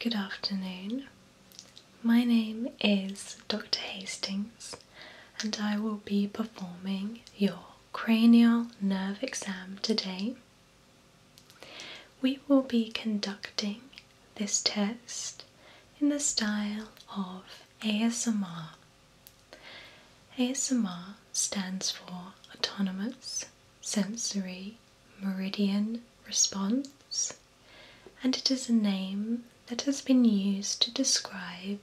Good afternoon. My name is Dr. Hastings, and I will be performing your cranial nerve exam today. We will be conducting this test in the style of ASMR. ASMR stands for Autonomous Sensory meridian response, and it is a name that has been used to describe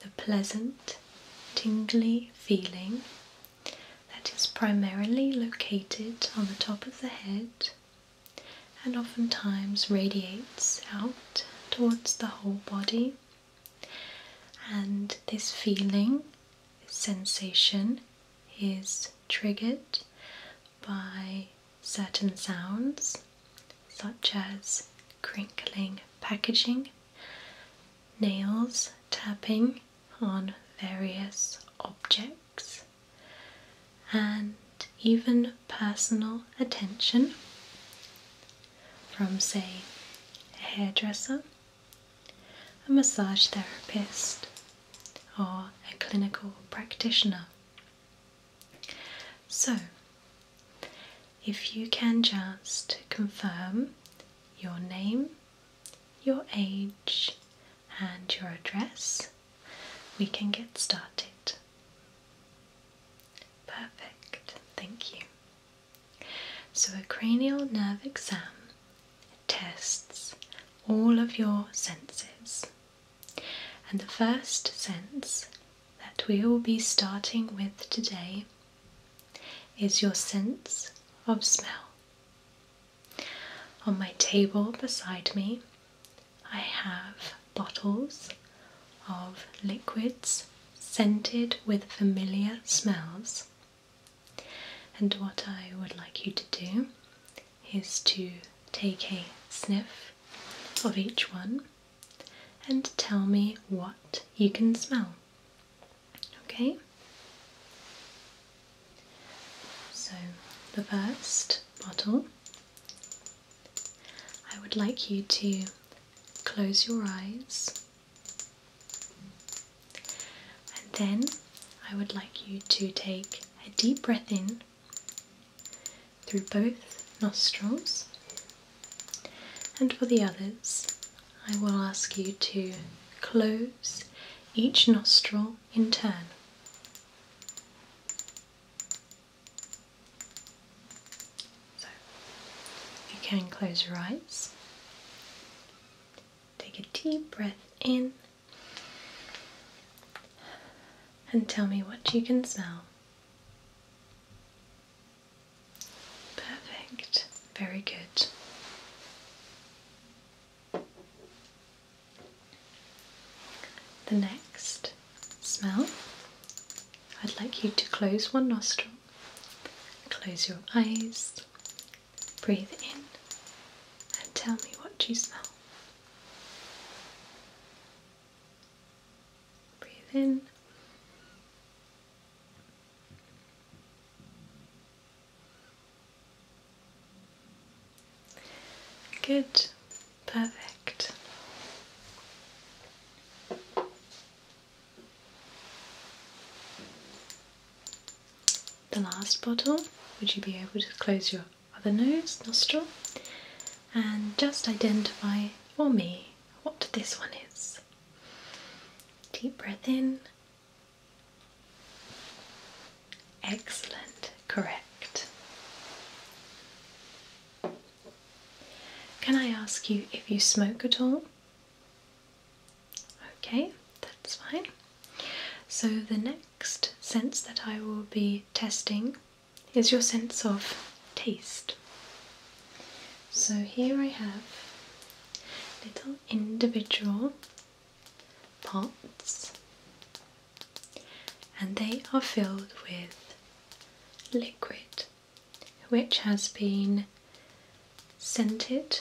the pleasant, tingly feeling that is primarily located on the top of the head and oftentimes radiates out towards the whole body. And this feeling, this sensation, is triggered by certain sounds such as crinkling packaging, nails tapping on various objects, and even personal attention from, say, a hairdresser a massage therapist, or a clinical practitioner. So, if you can just confirm your name, your age, and your address, we can get started. Perfect, thank you. So, a cranial nerve exam tests all of your senses. And the first sense that we will be starting with today is your sense of smell. On my table beside me, I have bottles of liquids scented with familiar smells and what I would like you to do is to take a sniff of each one and tell me what you can smell. Okay? So, the first bottle, I would like you to close your eyes and then I would like you to take a deep breath in through both nostrils. And for the others, I will ask you to close each nostril in turn. So you can close your eyes. Take a deep breath in and tell me what you can smell. Perfect, very good. The next smell, I'd like you to close one nostril, close your eyes, Breathe in and tell me what you smell. Breathe in. Good, perfect. The last bottle, would you be able to close your other nose, nostril, and just identify for me what this one is? Deep breath in. Excellent, correct. Can I ask you if you smoke at all? Okay, that's fine. So the next next sense that I will be testing is your sense of taste. So here I have little individual pots, and they are filled with liquid which has been scented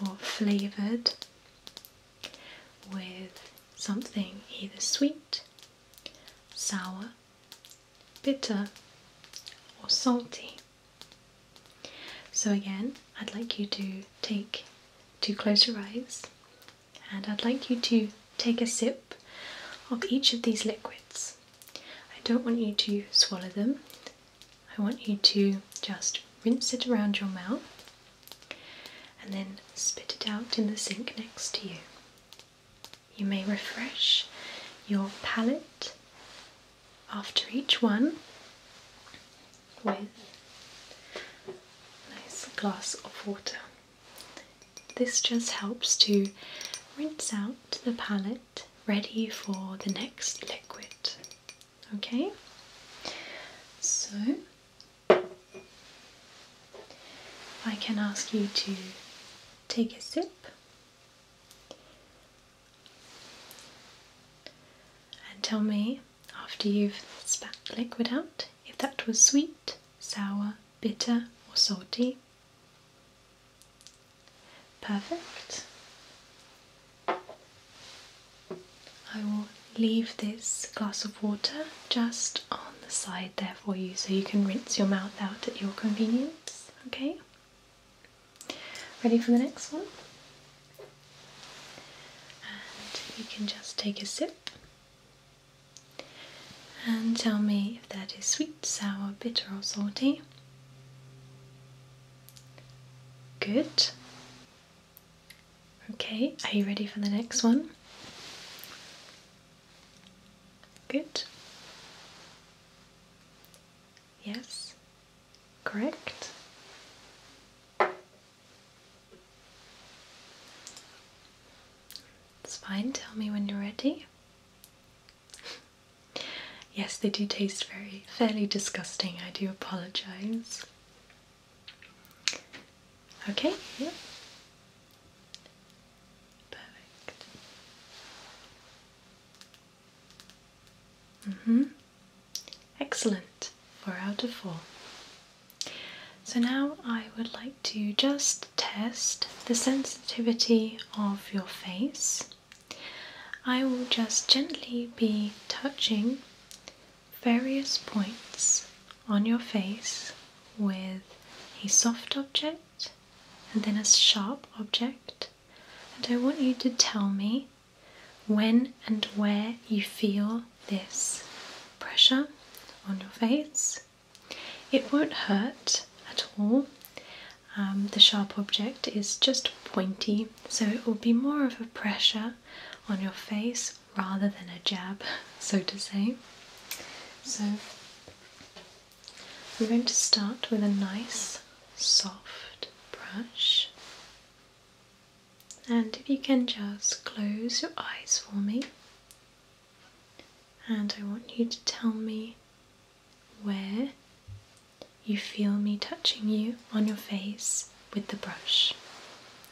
or flavoured with something either sweet, sour, bitter, or salty. So, again, I'd like you to take to close your eyes and I'd like you to take a sip of each of these liquids. I don't want you to swallow them, I want you to just rinse it around your mouth and then spit it out in the sink next to you. You may refresh your palette after each one with a nice glass of water. This just helps to rinse out the palette ready for the next liquid. Okay, so I can ask you to take a sip and tell me after you've spat the liquid out if that was sweet, sour, bitter, or salty. Perfect. I will leave this glass of water just on the side there for you so you can rinse your mouth out at your convenience. Okay? Ready for the next one? you can just take a sip and tell me if that is sweet, sour, bitter, or salty. Good. Okay, are you ready for the next one? Good. Yes. Correct. It's fine, tell me when you're ready. yes, they do taste very fairly disgusting. I do apologize. Okay, Perfect. Mm-hmm. Excellent. Four out of four. So now I would like to just test the sensitivity of your face. I will just gently be touching various points on your face with a soft object and then a sharp object, and I want you to tell me when and where you feel this pressure on your face. It won't hurt at all. Um, the sharp object is just pointy, so it will be more of a pressure on your face rather than a jab, so to say. So we're going to start with a nice soft brush. And if you can just close your eyes for me, and I want you to tell me where you feel me touching you on your face with the brush.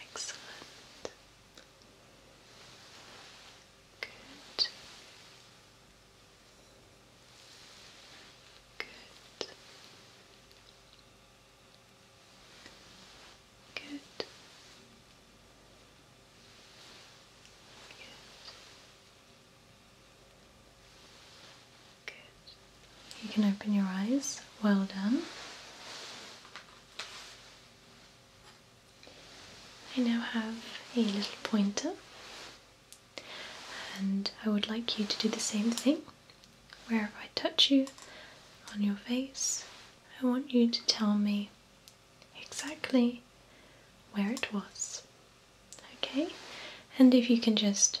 Excellent. Good. Good. Good. Good. Good. You can open your eyes. Well done. I now have a little pointer, and I would like you to do the same thing. Wherever I touch you on your face, I want you to tell me exactly where it was. Okay? And if you can just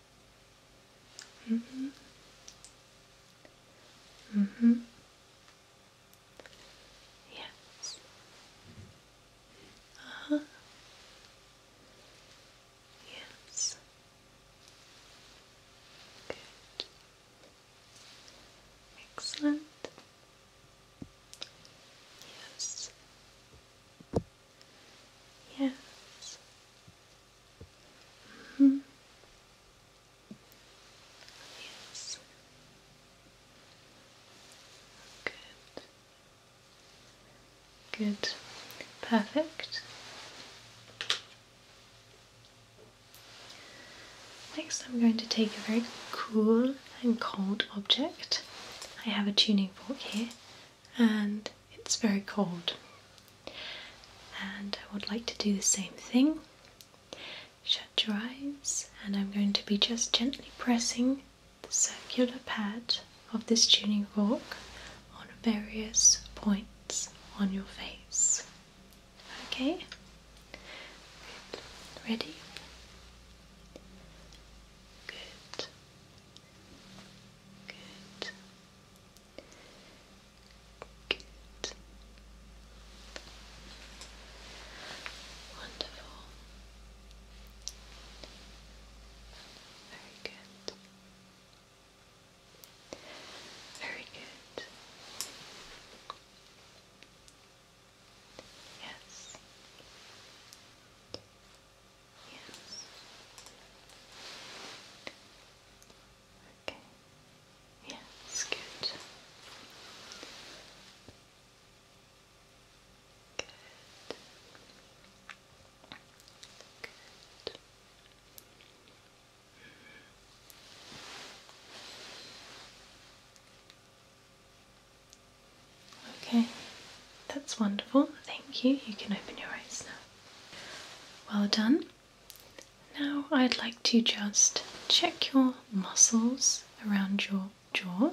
Mm-hmm. Mm-hmm. Yes. Uh-huh. Yes. Good. Excellent. Yes. Yes. hmm Yes. Good. Good. Perfect. Next, I'm going to take a very cool and cold object. I have a tuning fork here, and it's very cold. And I would like to do the same thing. Shut your eyes, and I'm going to be just gently pressing the circular pad of this tuning fork on various points on your face. Okay? Ready? Good. Good. Good. Wonderful. Very good. Very good. Yes. Yes. Okay. Yeah, it's good. Good. Good. Okay, that's wonderful. Thank you. You can open your eyes now. Well done. Now I'd like to just check your muscles around your jaw.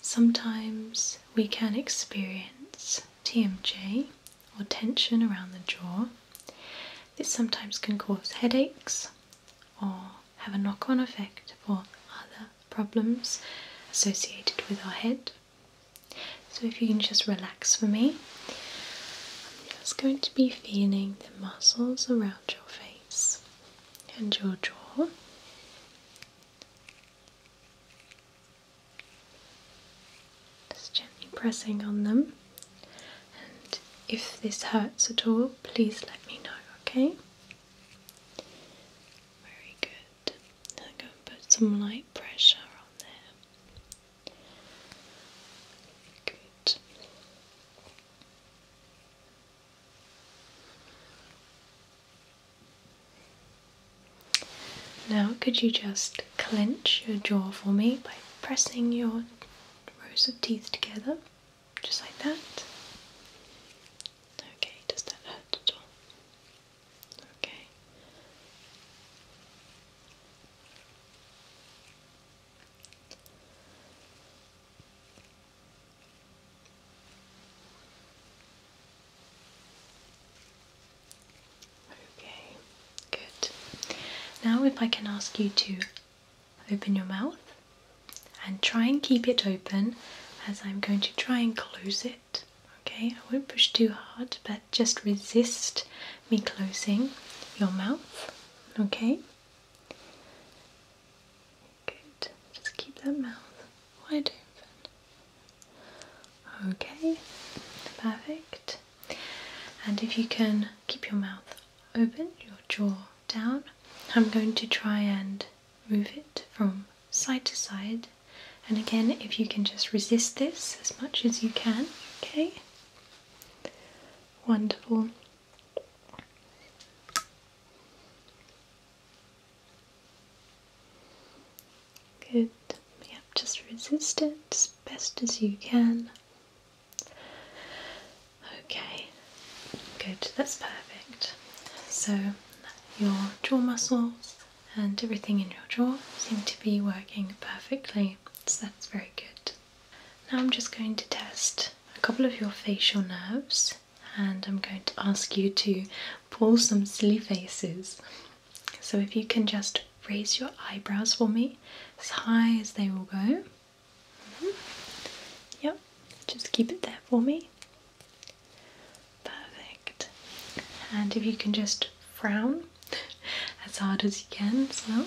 Sometimes we can experience TMJ or tension around the jaw. This sometimes can cause headaches or have a knock on effect for other problems associated with our head. So, if you can just relax for me, I'm just going to be feeling the muscles around your face and your jaw. Just gently pressing on them, and if this hurts at all, please let me know, okay? Very good. Now I'm going to put some light pressure on there. Good. Now, could you just clench your jaw for me by pressing your rows of teeth together, just like that? Okay, does that hurt at all? Okay. Okay, good. Now, if I can ask you to open your mouth and try and keep it open as I'm going to try and close it. Okay, I won't push too hard, but just resist me closing your mouth. Okay? Good. Just keep that mouth wide open. Okay, perfect. And if you can keep your mouth open, your jaw down, I'm going to try and move it from side to side and again, if you can just resist this as much as you can, okay? Wonderful. Good. Yep, just resist it as best as you can. Okay, good, that's perfect. So, your jaw muscles and everything in your jaw seemed to be working perfectly, so that's very good. Now I'm just going to test a couple of your facial nerves and I'm going to ask you to pull some silly faces. So if you can just raise your eyebrows for me as high as they will go. Mm-hmm. Yep, just keep it there for me. Perfect. And if you can just frown as hard as you can as well.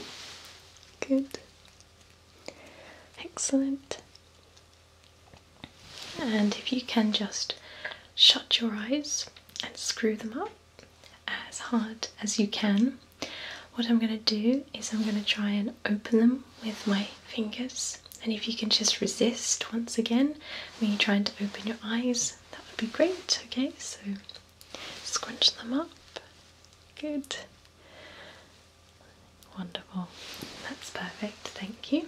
Good. Excellent. And if you can just shut your eyes and screw them up as hard as you can. What I'm going to do is I'm going to try and open them with my fingers. And if you can just resist once again when you trying to open your eyes, that would be great. Okay, so scrunch them up. Good. Wonderful. That's perfect. Thank you.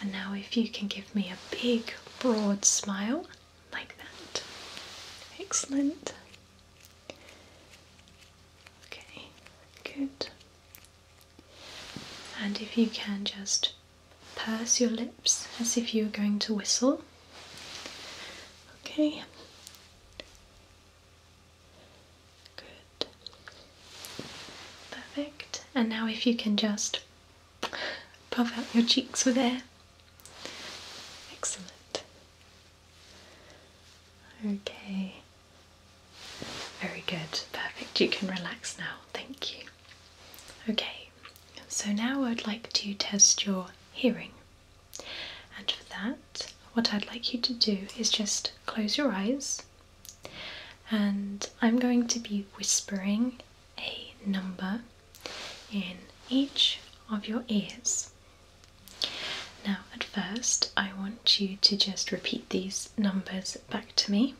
And now, if you can give me a big, broad smile like that. Excellent. Okay, good. And if you can just purse your lips as if you were going to whistle. Okay. Good. Perfect. And now, if you can just puff out your cheeks with air. Excellent. Okay. Very good. Perfect. You can relax now. Thank you. Okay. So now I'd like to test your hearing. And for that, what I'd like you to do is just close your eyes and I'm going to be whispering a number in each of your ears. Now, at first, I want you to just repeat these numbers back to me.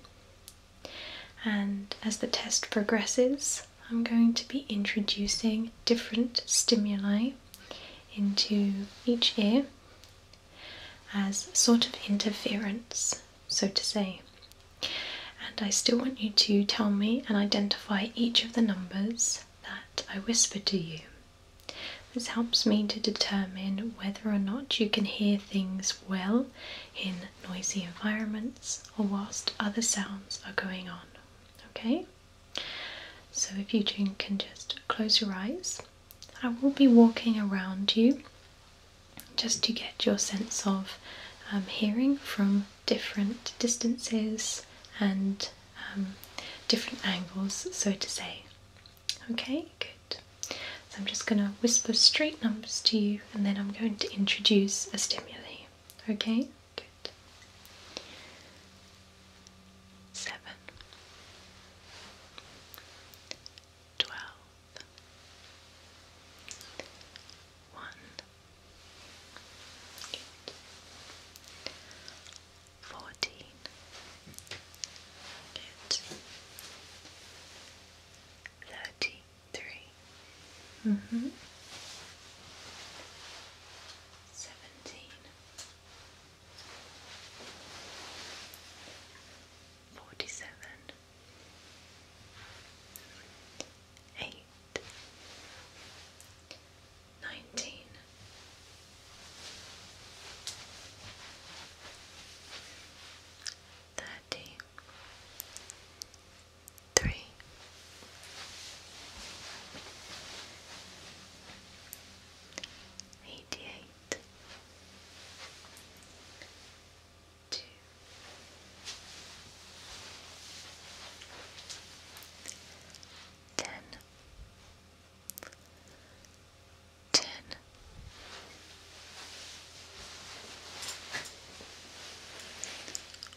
And as the test progresses, I'm going to be introducing different stimuli into each ear as sort of interference, so to say. And I still want you to tell me and identify each of the numbers that I whispered to you. This helps me to determine whether or not you can hear things well in noisy environments or whilst other sounds are going on. Okay? So if you can just close your eyes, I will be walking around you just to get your sense of um, hearing from different distances and um, different angles, so to say. Okay, good. So I'm just going to whisper street numbers to you and then I'm going to introduce a stimulus. Okay, good. Seven, twelve, one, good. Fourteen, good. Thirteen three, mm -hmm. seventeen, forty-seven, eight, nineteen. Thirty, three, eighty eight, two, ten, ten.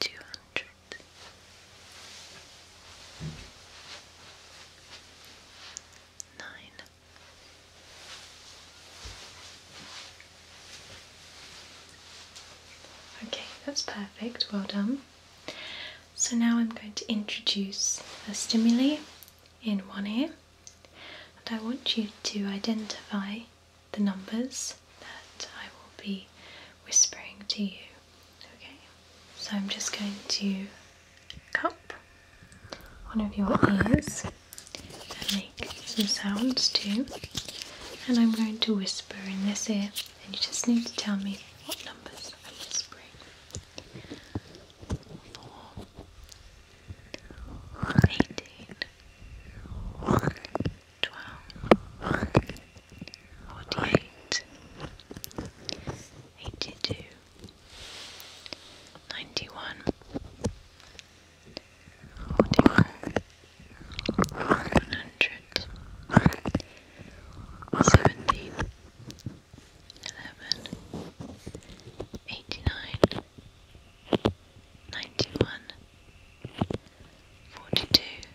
two hundred nine okay that's perfect well done so now I'm going to introduce a stimuli in one ear and I want you to identify the numbers that I will be whispering to you. Okay, so I'm just going to cup one of your ears and make some sounds too. And I'm going to whisper in this ear, and you just need to tell me what numbers I'm whispering. Four, eighteen, twelve, forty-eight, eighty-two, ninety-one, forty-one, one hundred, seventeen, eleven, eighty-nine, ninety-one, forty-two. 41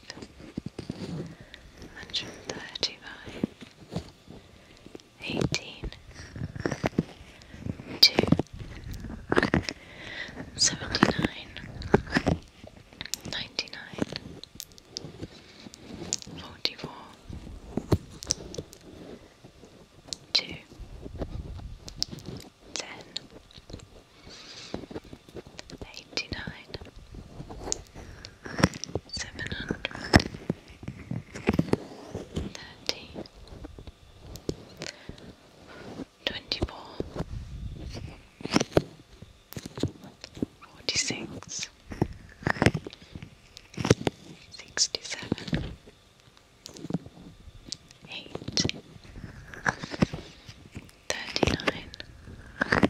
135 18 2 79 99 44 2 10 89 seven hundred thirty twenty four forty six sixty seven Eight, thirty-nine,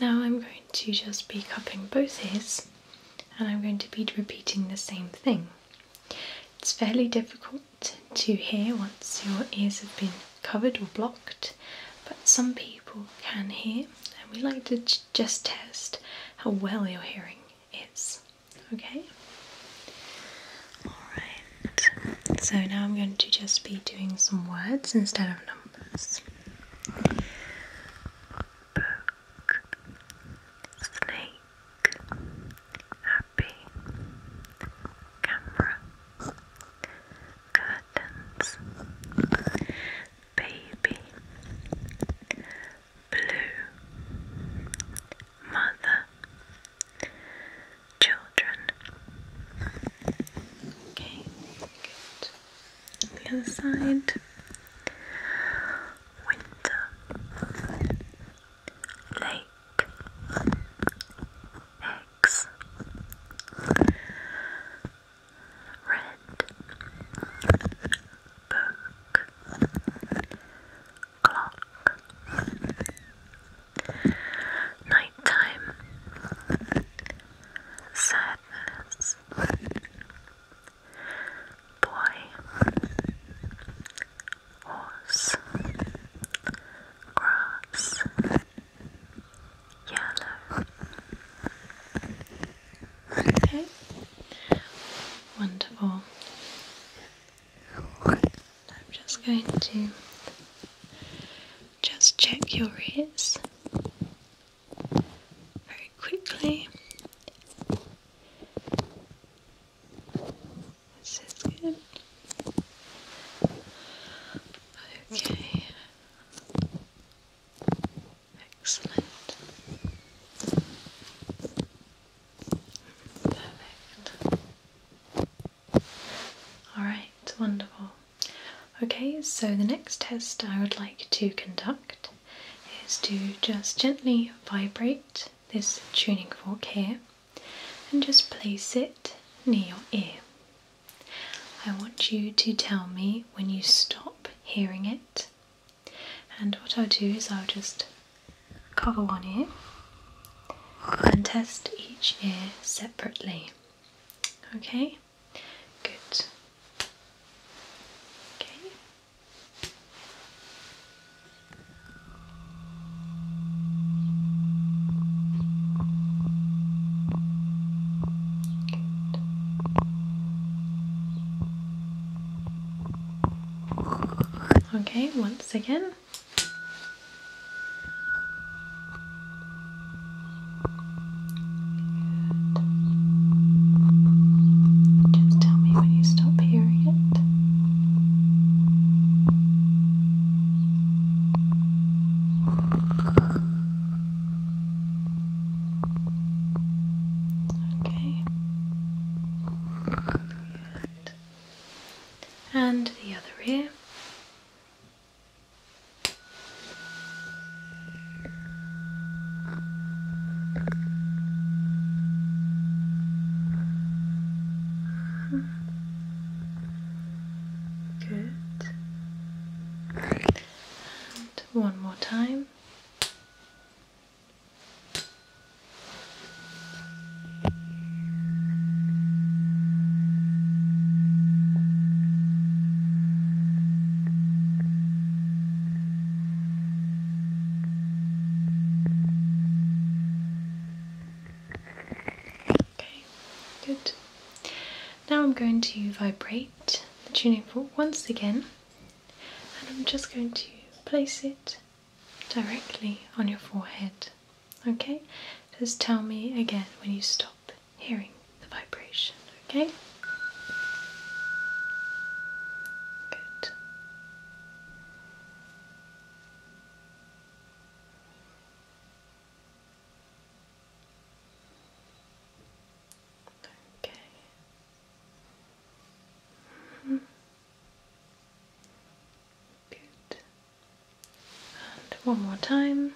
Now I'm going to just be cupping both ears and I'm going to be repeating the same thing. It's fairly difficult to hear once your ears have been covered or blocked, but some people can hear, and we like to just test how well your hearing is. Okay? Alright, so now I'm going to just be doing some words instead of numbers. Book, Snake, Happy, Camera, Curtains, Baby, Blue, Mother, Children. Okay, good the other side. Winter Lake Eggs Red Book Clock Nighttime Sad goodness. Boy, horse, grass, yellow. Okay, wonderful. I'm just going to just check your ears very quickly. This is good. Okay. Excellent. Perfect. All right, wonderful. Okay, so the next test I would like to conduct is to just gently vibrate this tuning fork here and just place it near your ear. I want you to tell me when you stop hearing it, and what I'll do is I'll just cover one ear and test each ear separately. Okay, Good. Okay. Okay, once again. Just tell me when you stop hearing it. Okay. And the other ear. Good. And one more time. Okay, good. Now I'm going to vibrate the tuning fork once again, and I'm just going to place it directly on your forehead. Okay, just tell me again when you stop hearing the vibration, okay? Good. Okay. Mm-hmm. Good. And one more time.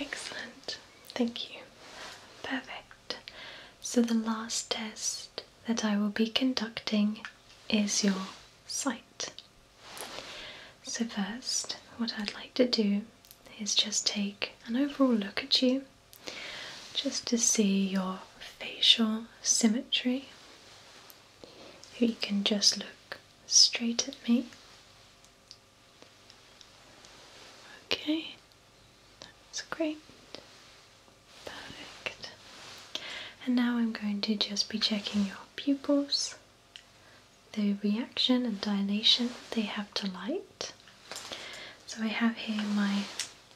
Excellent, thank you. Perfect. So, the last test that I will be conducting is your sight. So, first, what I'd like to do is just take an overall look at you just to see your facial symmetry. If you can just look straight at me. Okay, that's great. Perfect. And now I'm going to just be checking your pupils the reaction and dilation they have to light. So I have here my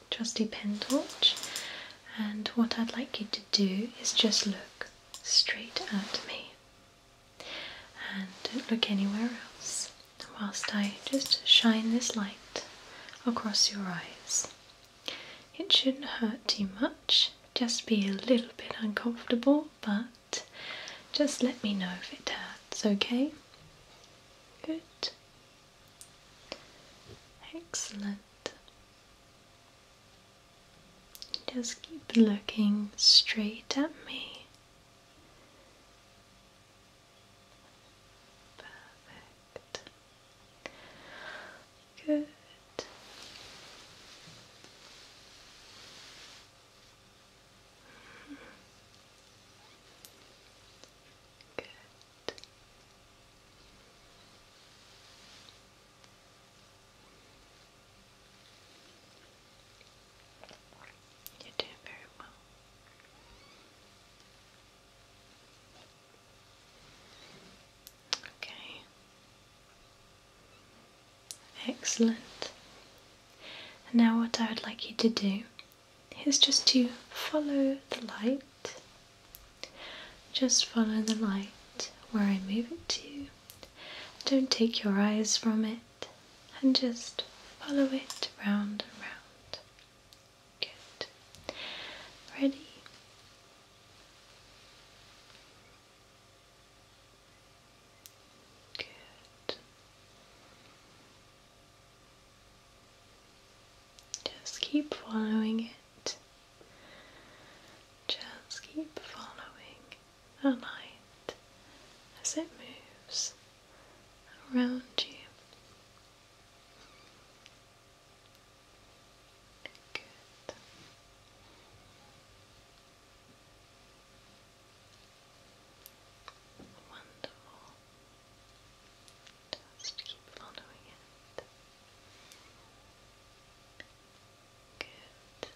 trusty pen torch, and what I'd like you to do is just look straight at me and don't look anywhere else whilst I just shine this light across your eyes. It shouldn't hurt too much, just be a little bit uncomfortable, but just let me know if it hurts, okay? Good. Excellent. Just keep looking straight at me. Perfect. Good. Good. You do very well. Okay. Excellent. And now, what I would like you to do is just to follow the light. Just follow the light where I move it to. Don't take your eyes from it and just follow it round and round. Good. Ready? Just keep following it. Just keep following a light as it moves around you. Good. Wonderful. Just keep following it. Good.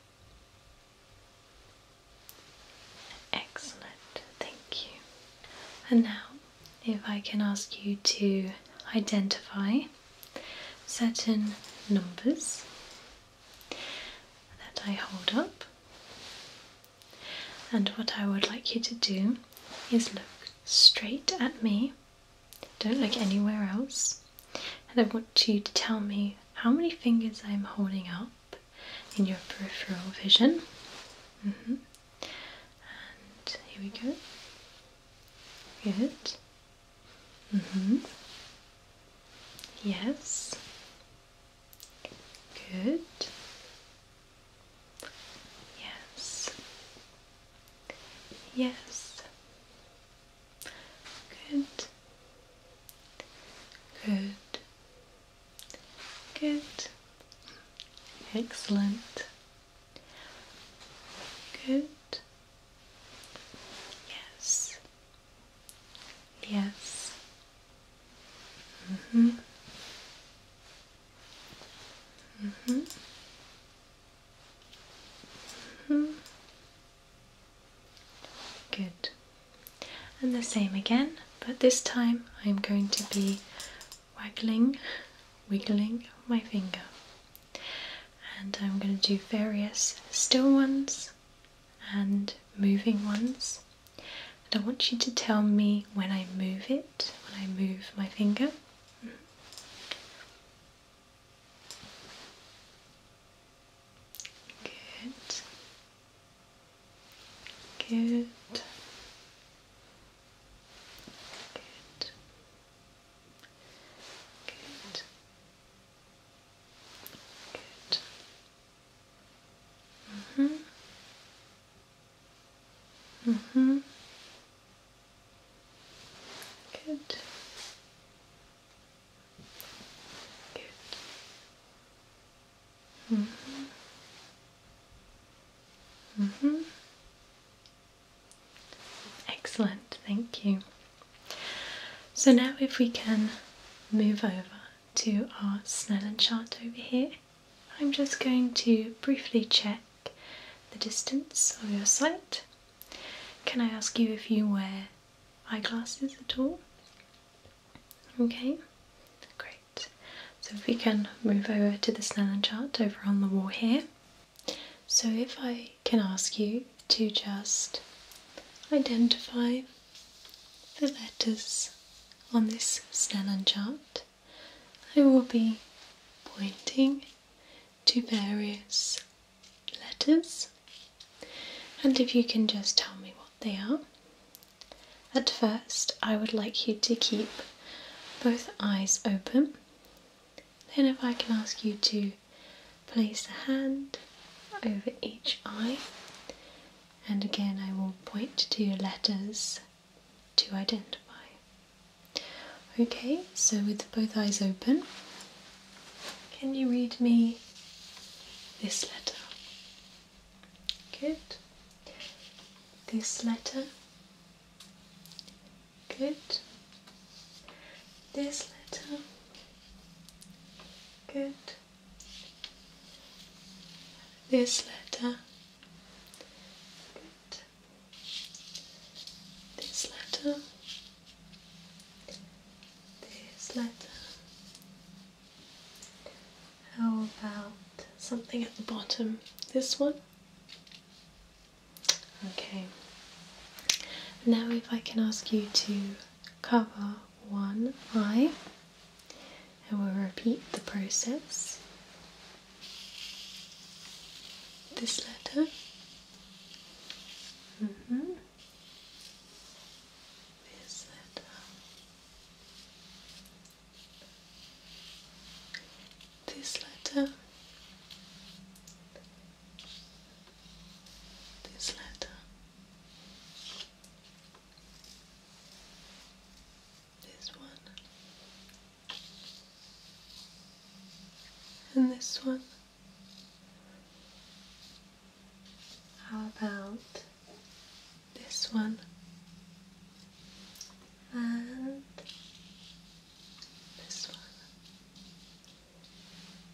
Excellent, thank you. And now, if I can ask you to identify certain numbers that I hold up. And what I would like you to do is look straight at me, don't look anywhere else. And I want you to tell me how many fingers I'm holding up in your peripheral vision. Mm-hmm. And here we go. Good. hmm Yes. Good. Yes. Yes. Good. Good. Good. Excellent. Good. Yes. Yes. Mm-hmm. mm-hmm. Mm-hmm. Mm-hmm. Good. And the same again, but this time I'm going to be waggling, wiggling my finger. And I'm going to do various still ones and moving ones. And I want you to tell me when I move it, when I move my finger. Good. Good. Good. Good. Good. Mhm. Mhm. Good. Good. Mhm. Mhm. Excellent. Thank you. So now if we can move over to our Snellen chart over here, I'm just going to briefly check the distance of your sight. Can I ask you if you wear eyeglasses at all? Okay, great. So if we can move over to the Snellen chart over on the wall here. So if I can ask you to just identify the letters on this Snellen chart, I will be pointing to various letters, and if you can just tell me what they are. At first, I would like you to keep both eyes open. Then, if I can ask you to place the hand over each eye and again I will point to your letters to identify. Okay, so with both eyes open, can you read me this letter? Good. This letter? Good. This letter? Good this letter this letter this letter how about something at the bottom this one okay now if i can ask you to cover one eye and we'll repeat the process. This letter. Mm-hmm. This letter. This letter. This letter. This one. And this one. How about this one? And this one.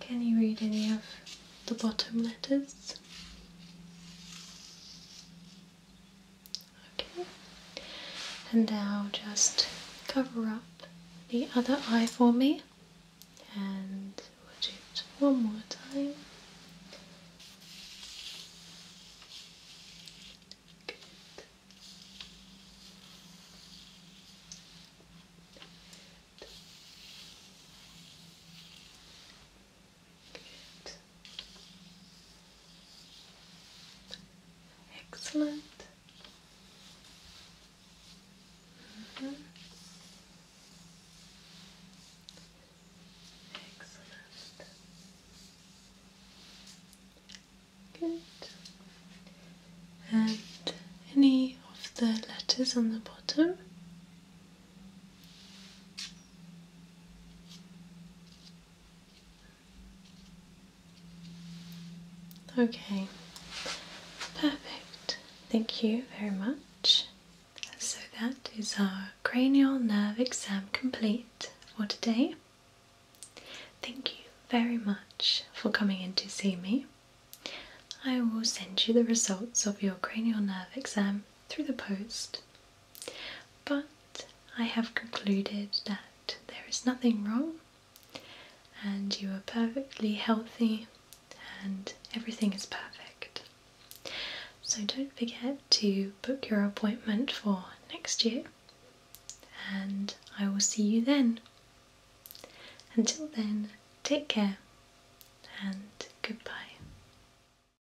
Can you read any of the bottom letters? Okay, and now just cover up the other eye for me, and we do it one more time. Good. Excellent. Mm -hmm. Excellent. Good. And any of the letters on the bottom? Okay, perfect. Thank you very much. So, that is our cranial nerve exam complete for today. Thank you very much for coming in to see me. I will send you the results of your cranial nerve exam through the post. But I have concluded that there is nothing wrong and you are perfectly healthy and everything is perfect. So don't forget to book your appointment for next year and I will see you then. Until then, take care and goodbye.